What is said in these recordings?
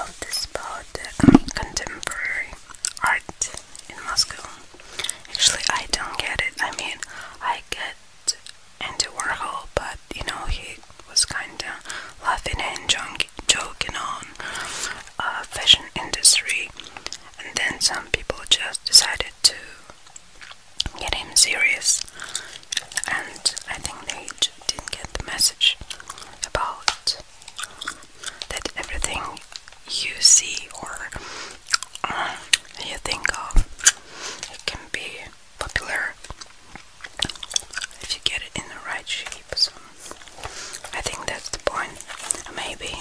of the spot um, contemporary art in Moscow. Actually, I don't get it. I mean, I get Andy Warhol, but you know, he was kind of laughing and joking on uh, fashion industry, and then some people just decided to get him serious, and I think they didn't get the message about that everything you see or uh, you think of it can be popular if you get it in the right shape. So I think that's the point. Maybe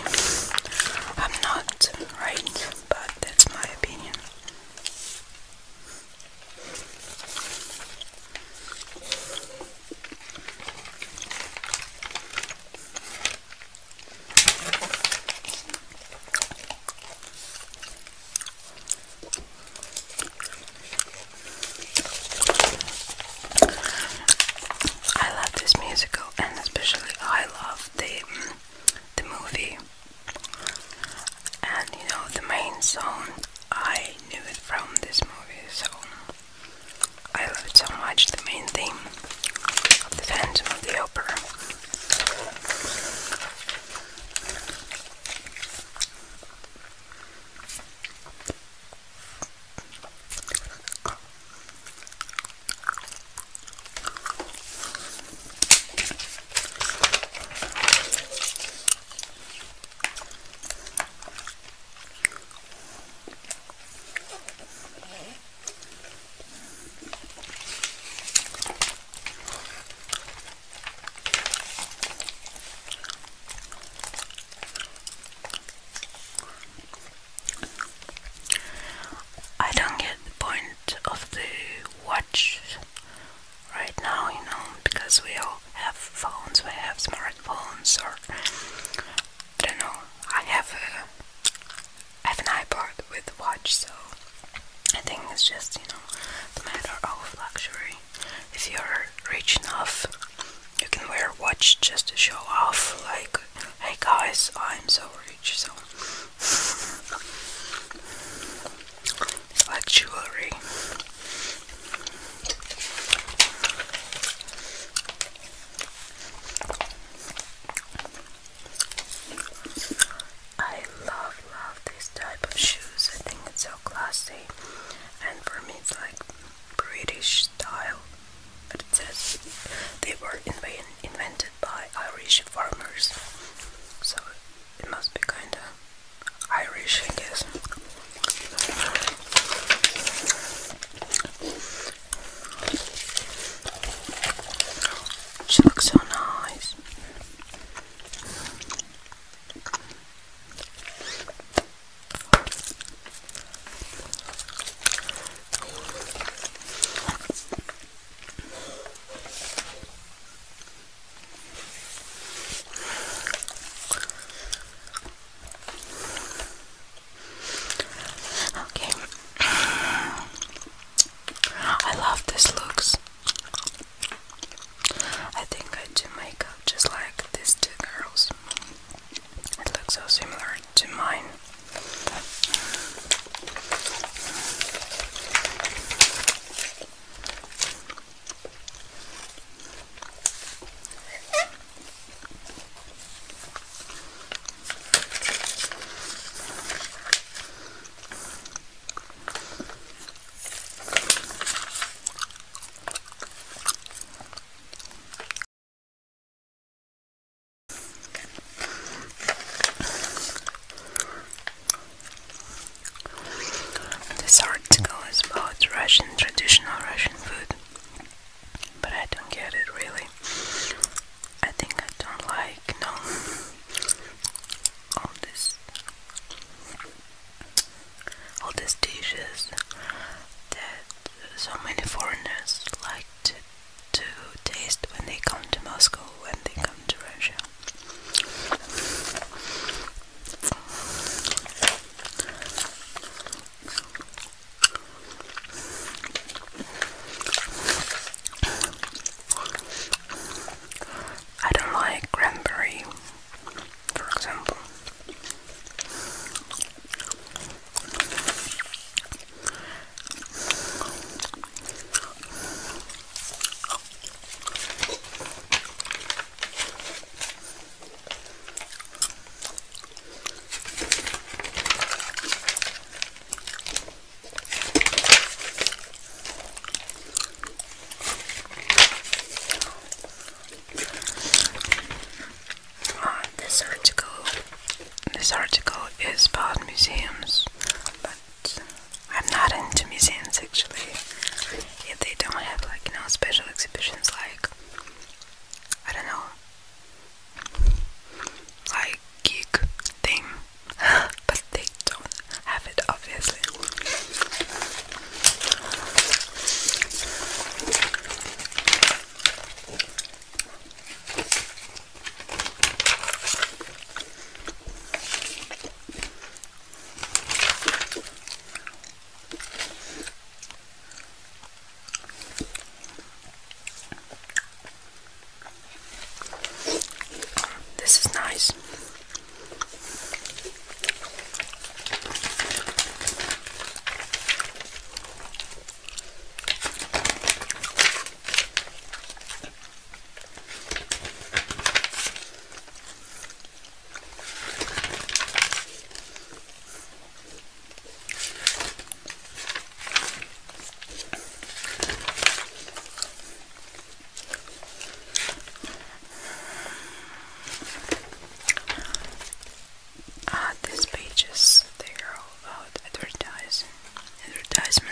I'm not right, but that's my opinion. I love this musical, and especially I love the the movie. And you know the main song. I knew it from this movie, so I love it so much, the main theme of the Phantom of the Opera. I don't get the point of the watch right now, you know, because we are have phones, we have smartphones, or I don't know. I have have an iPod with a watch, so I think it's just you know the matter of luxury. If you're rich enough, you can wear a watch just to show off, like, hey guys, I'm so rich, so. It's like jewelry. I love, love this type of shoes. I think it's so classy, and for me, it's like British style. But it says they were invented by Irish farmers, so it must be kind of Irish, I guess. She looks so nice. Okay. I love these looks. I think I do makeup just like these two girls. It looks so similar to mine. This article is about Russian traditional Russian food but I don't get it really. I think I don't like no all this all these dishes that so many foreigners like to to taste when they come to Moscow, when they come to Russia. I don't like cranberry, for example. Uh, this article, this article is about museums, but I'm not into museums actually. If they don't have like you special exhibitions like I don't know like geek thing but they don't have it obviously this is nice. Ah, these pages, they are all about advertising. Advertisement.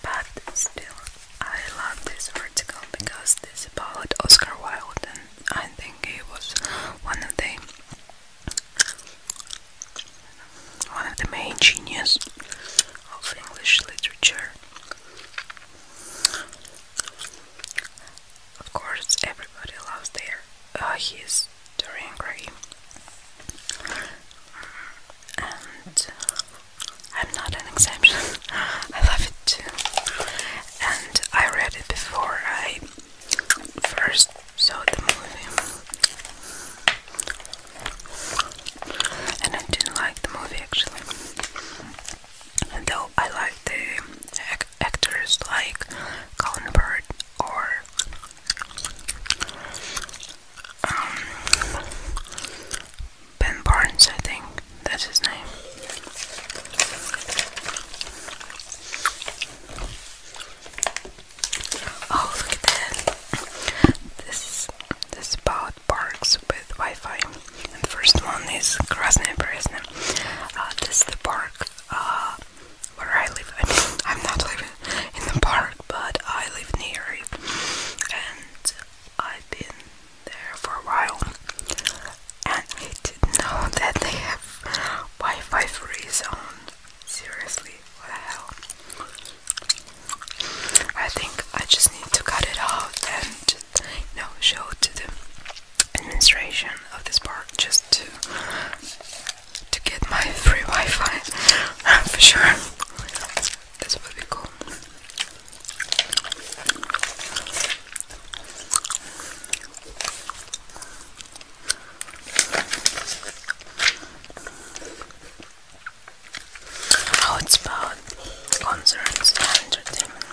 But still, I love this article because this is about Oscar Wilde, and I think he was one of the one of the main geniuses of English literature. Of course, everybody loves their uh, his Dorian Gray, and I'm not an exception. I love it too, and I read it before I first saw the movie, and I didn't like the movie actually. Though I like the actors like Colin Bird or um, Ben Barnes, I think that's his name. Oh, look at that! This this is parks with Wi-Fi. And the first one is Krasnaya Berezhna. Uh, this is the park uh, where I live. I am not living in the park, but I live near it, and I've been there for a while. And I didn't know that they have Wi-Fi free zone. Seriously, what the hell? I think I just need to cut it off and you show it to the administration of this park just to to get my free Wi-Fi for sure. This would be cool. How it's about concerts and entertainment.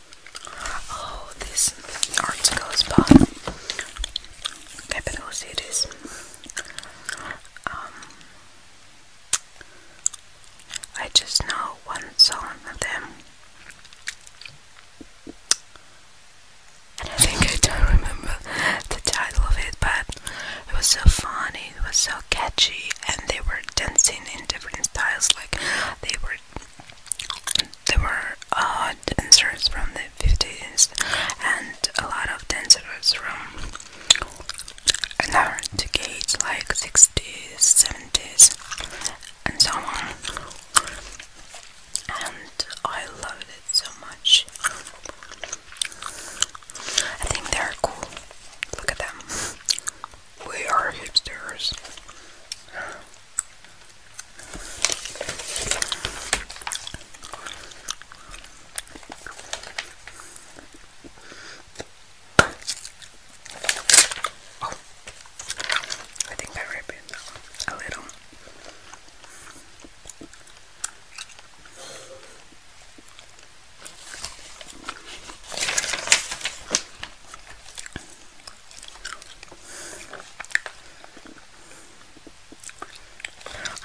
Oh, this article is by Capital Cities. Um, I just know one song of them. I think I don't remember the title of it, but it was so funny, it was so catchy, and they were dancing in different styles like they were there were uh, dancers from the 50s and a lot of dancers from another decades like 60s, 70s and so on and I loved it so much I think they're cool look at them we are hipsters. Oh, I think I ripped it a little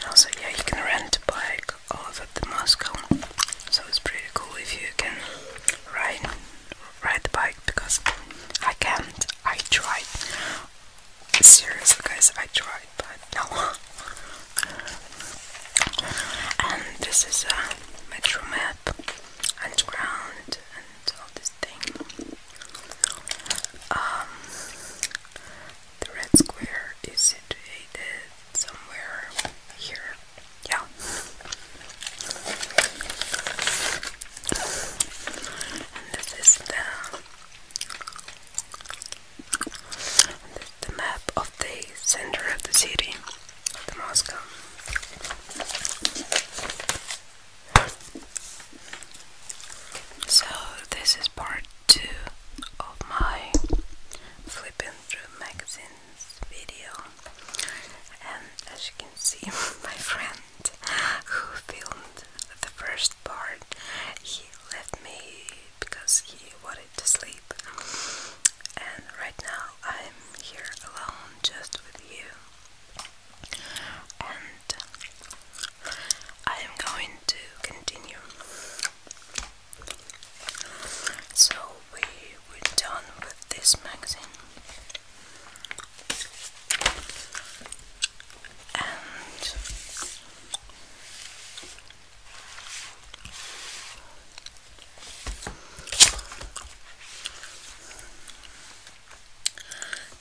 also, yeah, you can rent a bike off the Moscow, so it's pretty cool if you can ride ride the bike because I can't. I tried. Seriously, guys, I tried, but no. And this is a Metro Man up and ground and all this thing. Um, the red square is situated somewhere here. Yeah. And this is the the map of the center of the city the Moscow. So this is part two of my flipping through magazines video, and as you can see, my friend who filmed the first part, he left me because he wanted to sleep, and right now I'm here alone just with you. And I am going to continue. So we we done with this magazine. And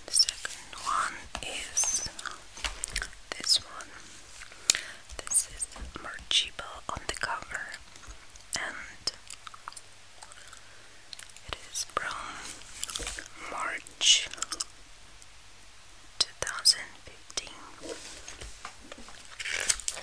the second one is this one. This is Marchiba on the cover, and it is from March 2015.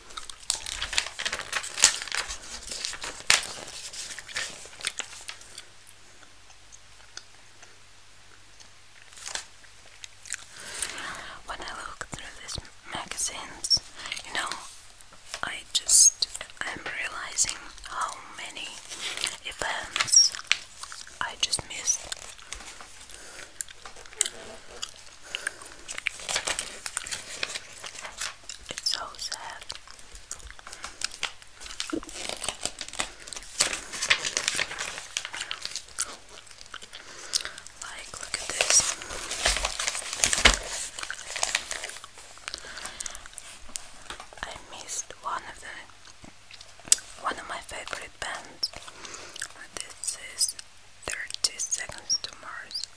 When I look through these magazines, you know, I just am realizing how many events I just missed. It's so sad. Like, look at this. I missed one of the one of my favorite bands. This is 30 Seconds to Mars.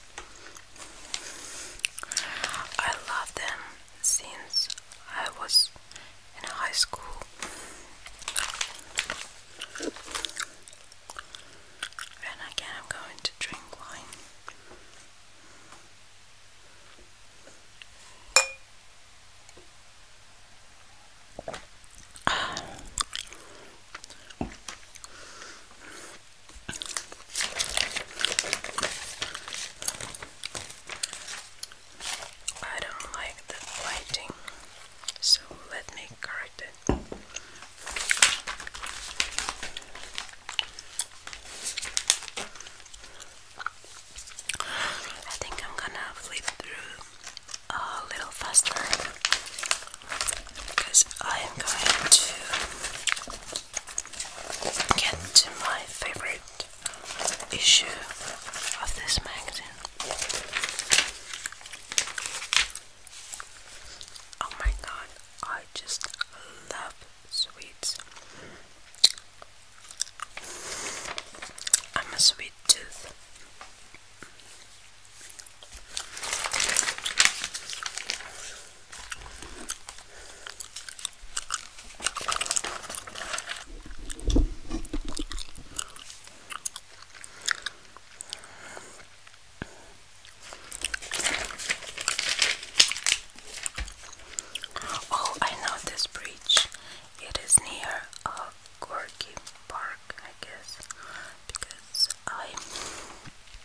I love them since I was in high school. And again, I'm going to drink wine. I don't like the lighting, so let me correct it. I think I'm gonna flip through a little faster because I am going to get to my favorite issue of this magazine. Oh my god, I just love sweets. I'm a sweet tooth. Oh, I know this bridge. It is near a uh, Gorky Park, I guess, because I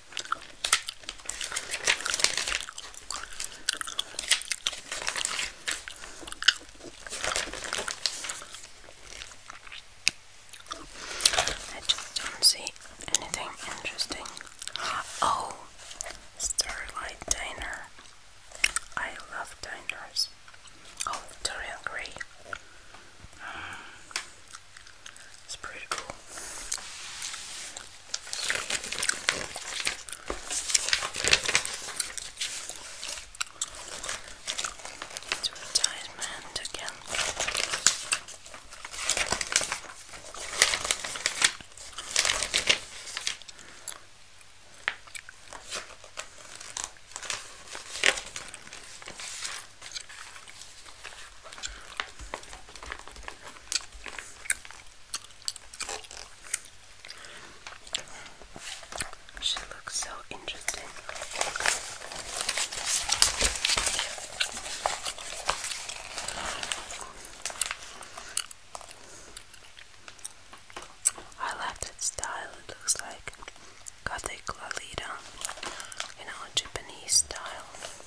I just don't see anything interesting. Oh, Starlight Diner. I love diners. Oh, Dorian it's pretty cool. It's retirement again. She looks so interesting. I love that style, it looks like Gothic Lolita, you know, Japanese style.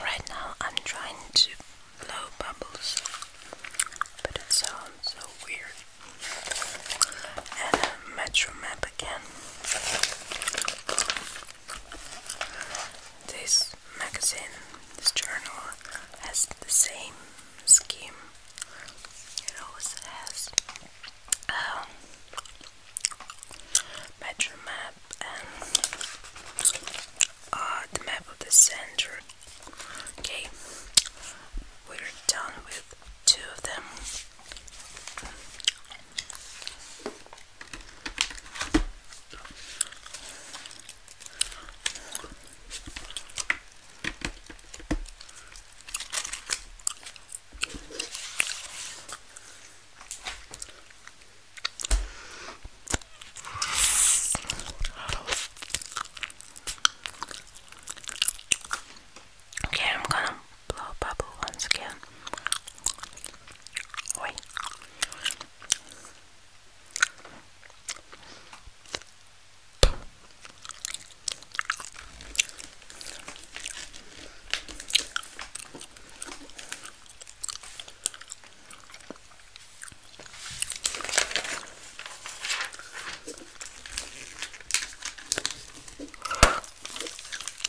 Right now, I'm trying to blow bubbles, but it sounds so weird. And a uh, metro map again. This magazine, this journal, has the same scheme it also has metro um, map and uh, the map of the center. Okay, we're done with two of them. Okay, I'm gonna blow bubble once again. Wait. Yeah,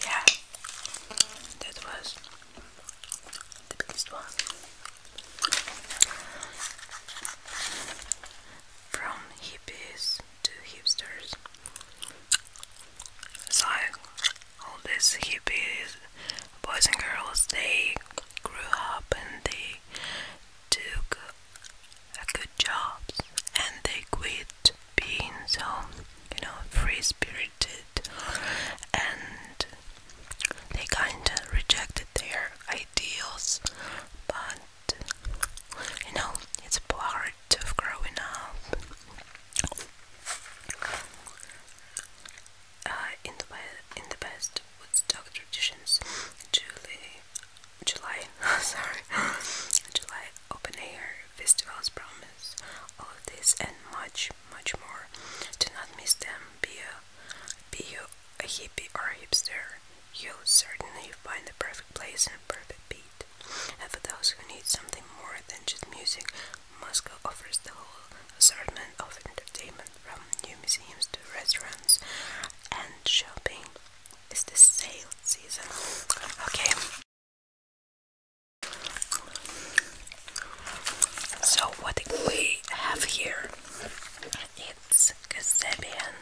that was the biggest one from hippies to hipsters. So all these hippies, boys and girls, they grew up and they took good jobs and they quit being so you know free spirited and they kinda rejected their ideals but you know, it's part of growing up. Uh, in the in the best Woodstock traditions, July, July, sorry, July open air festivals promise all of this and much, much more. Do not miss them. Be a be a hippie or hipster. You'll certainly find the perfect place and a perfect beat. And for those who need something more than just music, Moscow offers the whole assortment of entertainment from new museums to restaurants and shopping. It's the sale season. Okay. So what we have here it's Kasabian.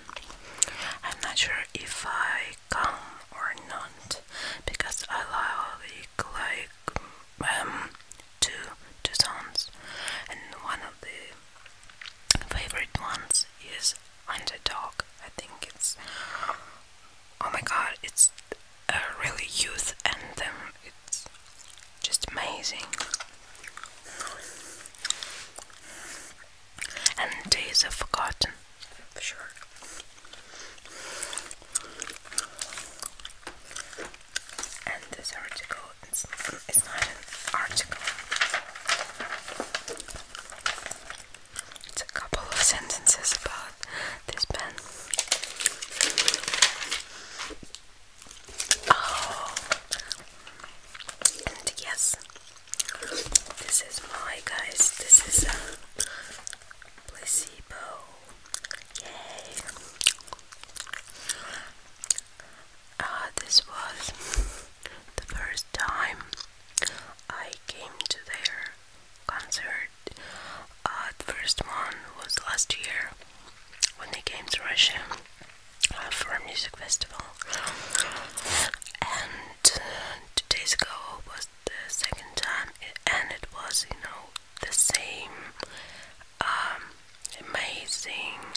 I'm not sure if I come or not because I like like um two two songs and one of the favorite ones is Underdog. I think it's oh my god it's a really youth anthem it's just amazing and days are forgotten sure. And this article it's, not an article. It's a couple of sentences about this pen. Oh, and yes, this is my guys. This is a um, placebo. Yay! Uh, this was the first time I came to their concert. Uh, the first one was last year when they came to Russia. Uh, for a music festival. And uh, two days ago was the second time, and it was, you know, the same um, amazing.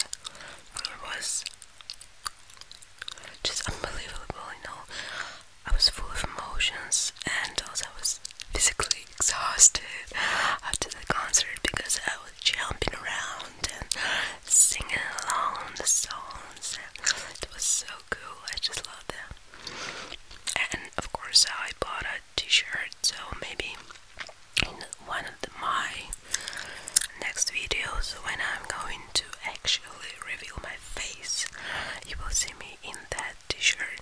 It was just unbelievable, you know. I was full of emotions, and also I was physically exhausted after the concert because I was jumping around and singing along the songs. It was so cool. I just love them. And of course, I bought a T-shirt. So maybe in one of my next videos, when I'm going to actually reveal my face, you will see me in that T-shirt.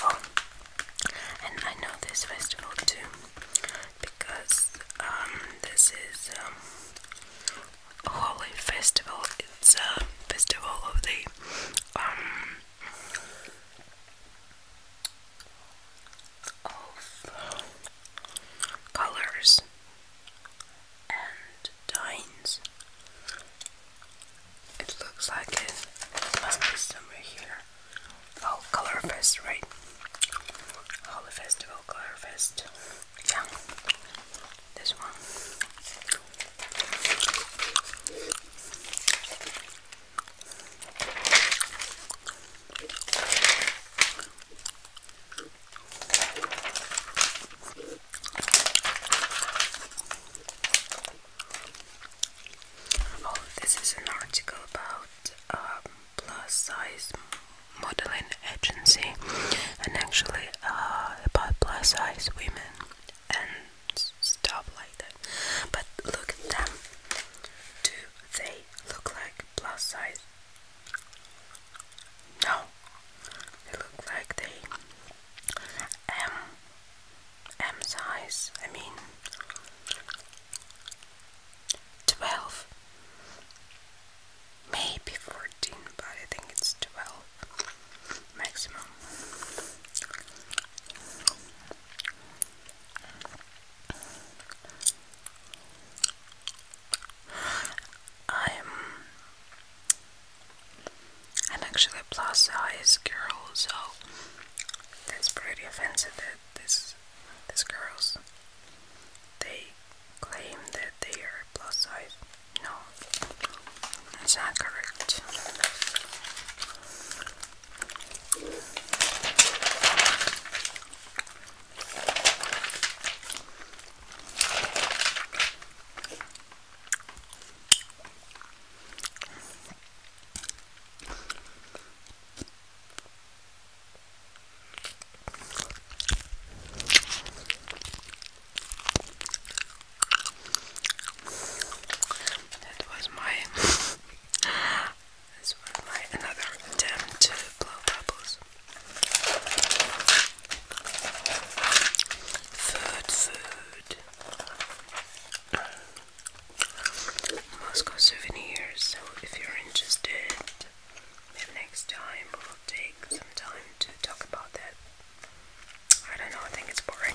Oh, and I know this festival too because um, this is a um, holy festival. It's a festival of the um, of colors and dines. It looks like it must be somewhere here. Oh, Colorfest, right? Holy Festival, oh, Colorfest. Yeah, this one. Oh, this is an article about um, plus size modeling agency and actually uh, about plus size women and stuff like that. But look at them. Do they look like plus size? No. They look like they M size, I mean 12, maybe 14, but I think it's 12 maximum. I'm I'm actually a plus size girl, so that's pretty offensive that this these girls they claim that they are plus size. No, that's not correct. That was my this was my another attempt to blow bubbles. Food, food. Moscow souvenirs. So if you're interested, next time we'll take some time to talk about that. I don't know, I think it's boring.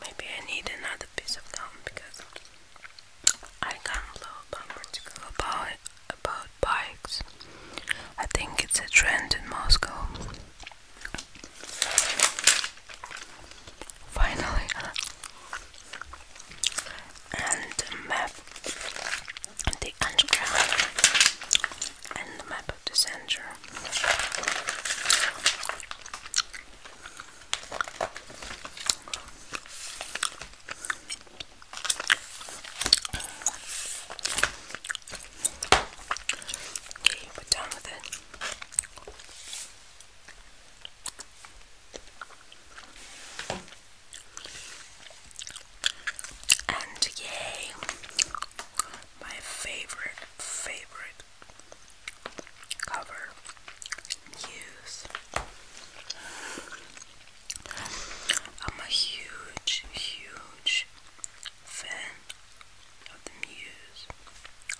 Maybe I need another piece of gum because I can't blow up about, about bikes. I think it's a trend in Moscow. Finally, and map the Angela and the map of the center. Okay, we're done with it. And yay, my favorite, favorite cover, Muse. I'm a huge, huge fan of the Muse,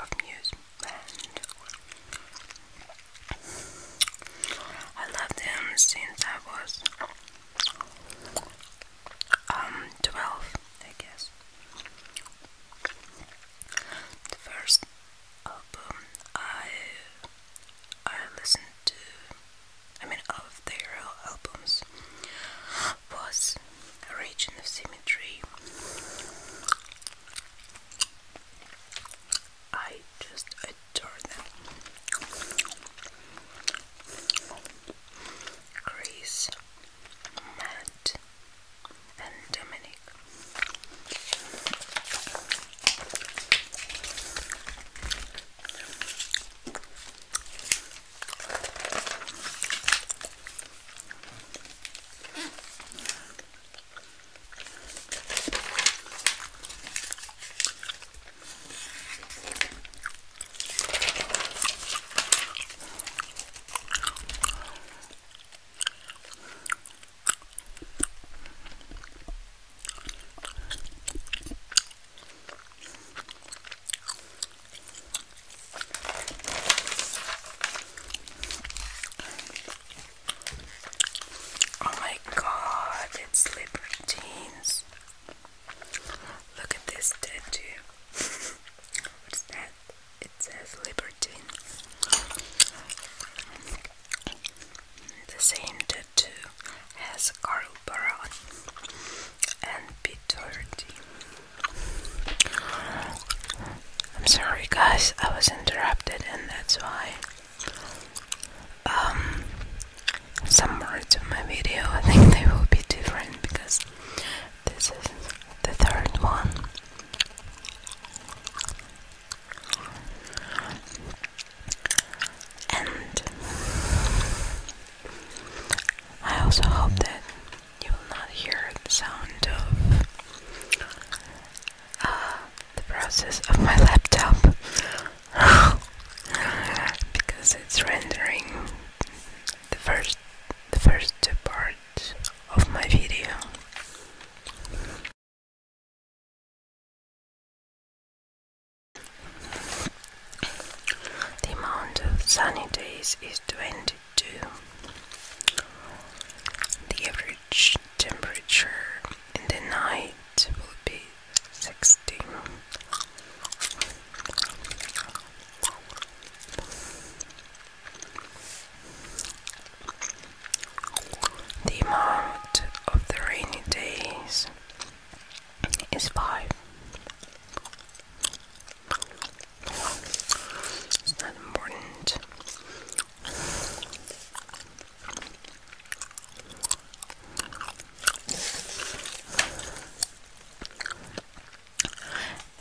of Muse band. I love them since I was um 12 I guess the first album I I listened to I mean of their albums was Region of Symmetry I just Jordan, Chris, and Dominic. Oh my god, it's slippery Look at this tattoo. What's that? It says Libertine. The same tattoo has Carl Baron and Peter D. I'm sorry, guys, I was interrupted, and that's why. Um, some more to my video. I think they will be different because this is the third one. And I also hope that you will not hear the sound of uh, the process of my laptop because it's rendering the first the first part of my video. The amount of sunny days is 22. The average temperature in the night will be sixty. The amount of the rainy days is five. It's not important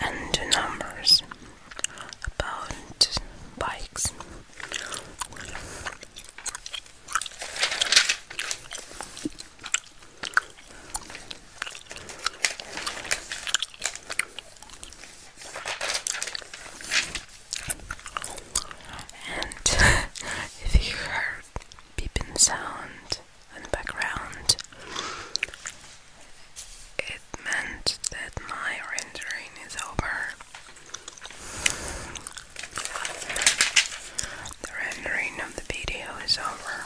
and numbers about bikes. And if you beeping sound in the background. It meant that my rendering is over. The rendering of the video is over.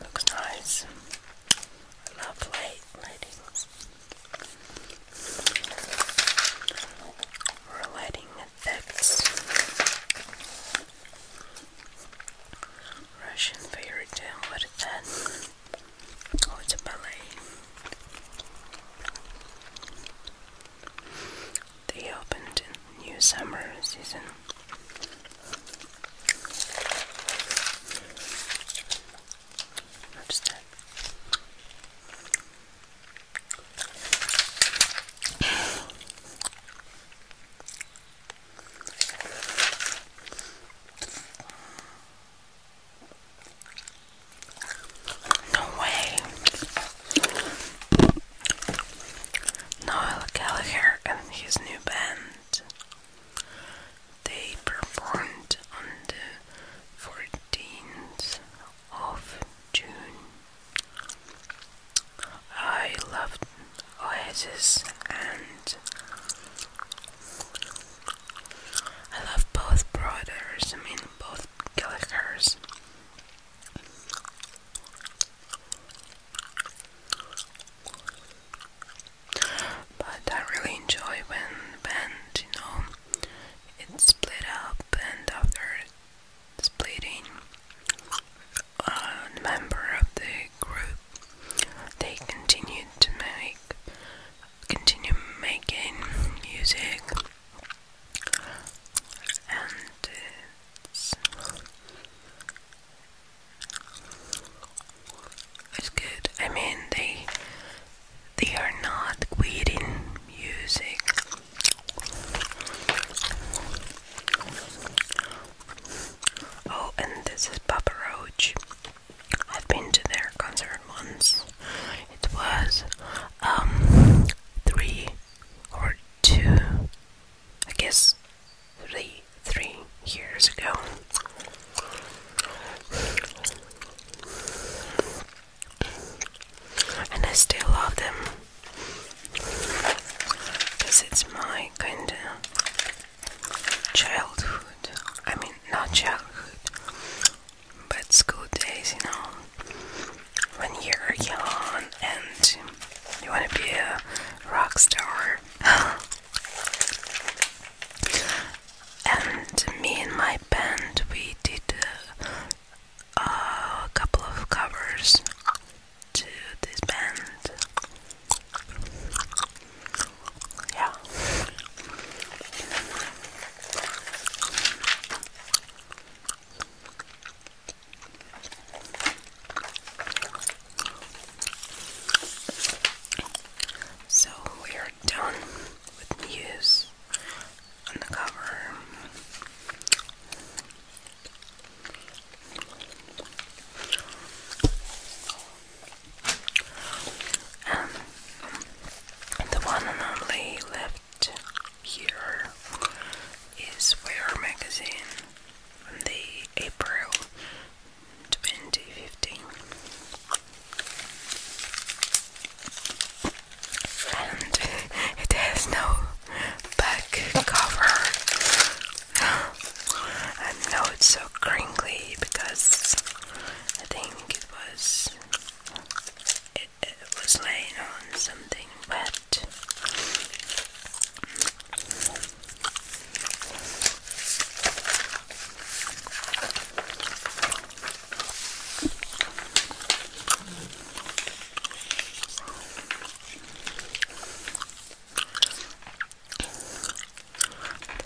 Looks nice. I love light lightings relating effects. Russian fairy tale, what is that? Oh, it's a ballet. They opened a new summer season. What's that? No way. Noel Gallagher and his new band. They performed on the 14th of June. I love Oasis and I love both brothers, I mean both Gallagher's. But I really enjoy when band, you know, it split up and after splitting a member of the group they continued to make continue making music and it's, it's good I mean they they are not quitting music. Oh, and this is Papa Roach. I've been to their concert once. It was um three or two I guess three three years ago and I still love them because it's my kind of childhood. I mean, not childhood, but school days, you know, when you're young and you want to be a rock star. and me and my band, we did a couple of covers to this band. Yeah. So we are done with news on the cover. Um, the one and only left here is Wear magazine from the April 2015 and it has no back cover. I know it's so crinkly because I think it was it was laying on something wet.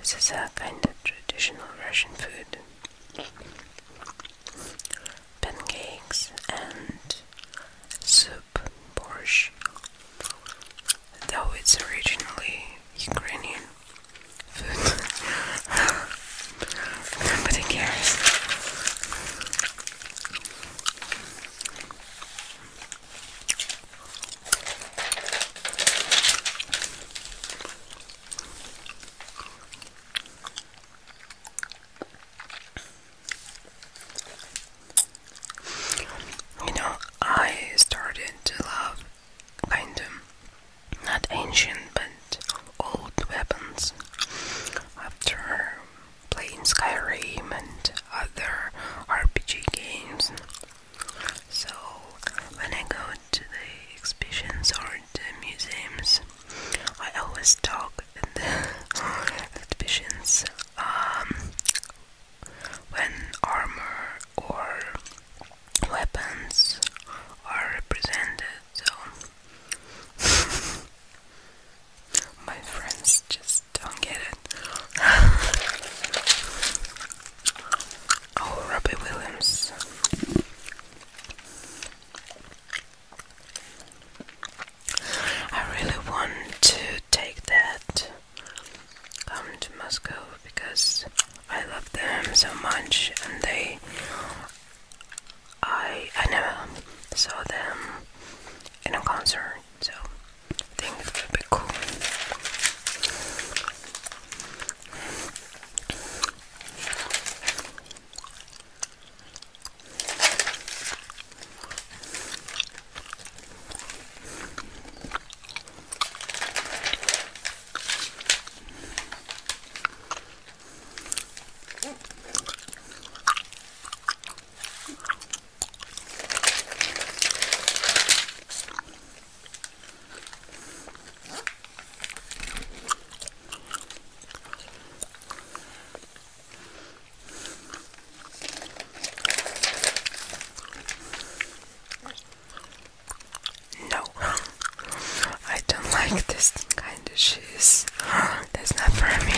This is a kind of traditional Russian food. Pancakes and soup, borscht. Though it's originally Ukrainian food. Nobody cares. You know, I started to love kind of not ancient but old weapons. After playing Skyrim and other RPG games. So when I go to the exhibitions or the museums, I always talk at the exhibitions um, when armor or weapons are represented so my friends just don't get it. oh, Robbie Williams. I really want to take that come um, to Moscow because I love them so much and they I I never saw them in a concert, so I think it would be cool. No, I don't like this kind of shit. That's not for me.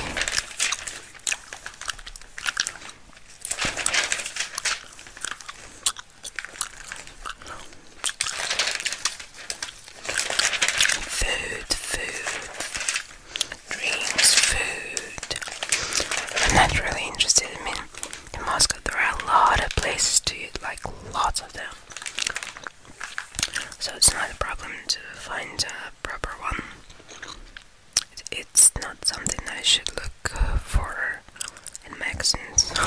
Food, food, drinks, food. I'm not really interested. I mean, in Moscow there are a lot of places to eat, like lots of them. So it's not a problem to find a proper one. It's not something I should look for in magazines. okay.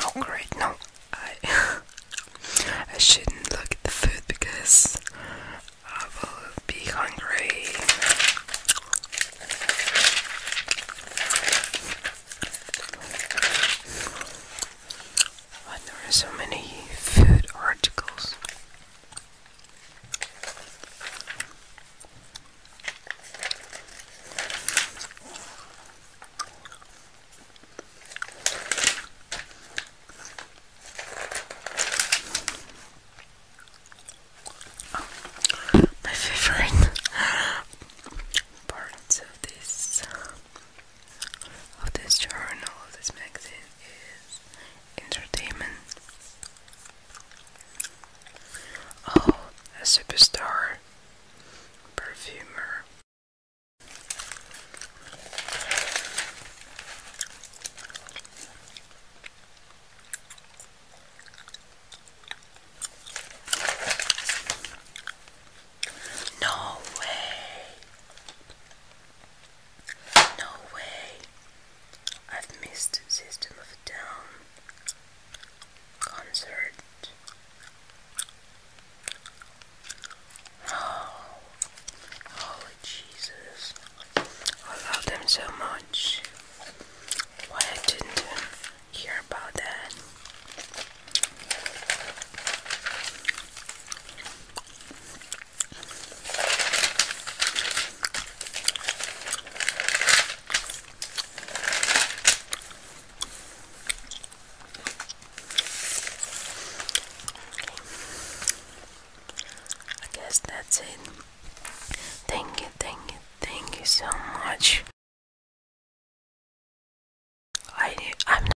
Oh great, no, I I shouldn't look at the food because I will be hungry there are so many food articles? my favorite parts of this of this journal, of this magazine, is entertainment. Oh, a superstar, perfumer. No way. No way. I've missed System of a Down concert. Oh, holy oh, Jesus. I love them so much. Why I didn't hear about that? I guess that's it. Thank you, thank you, thank you so much. I am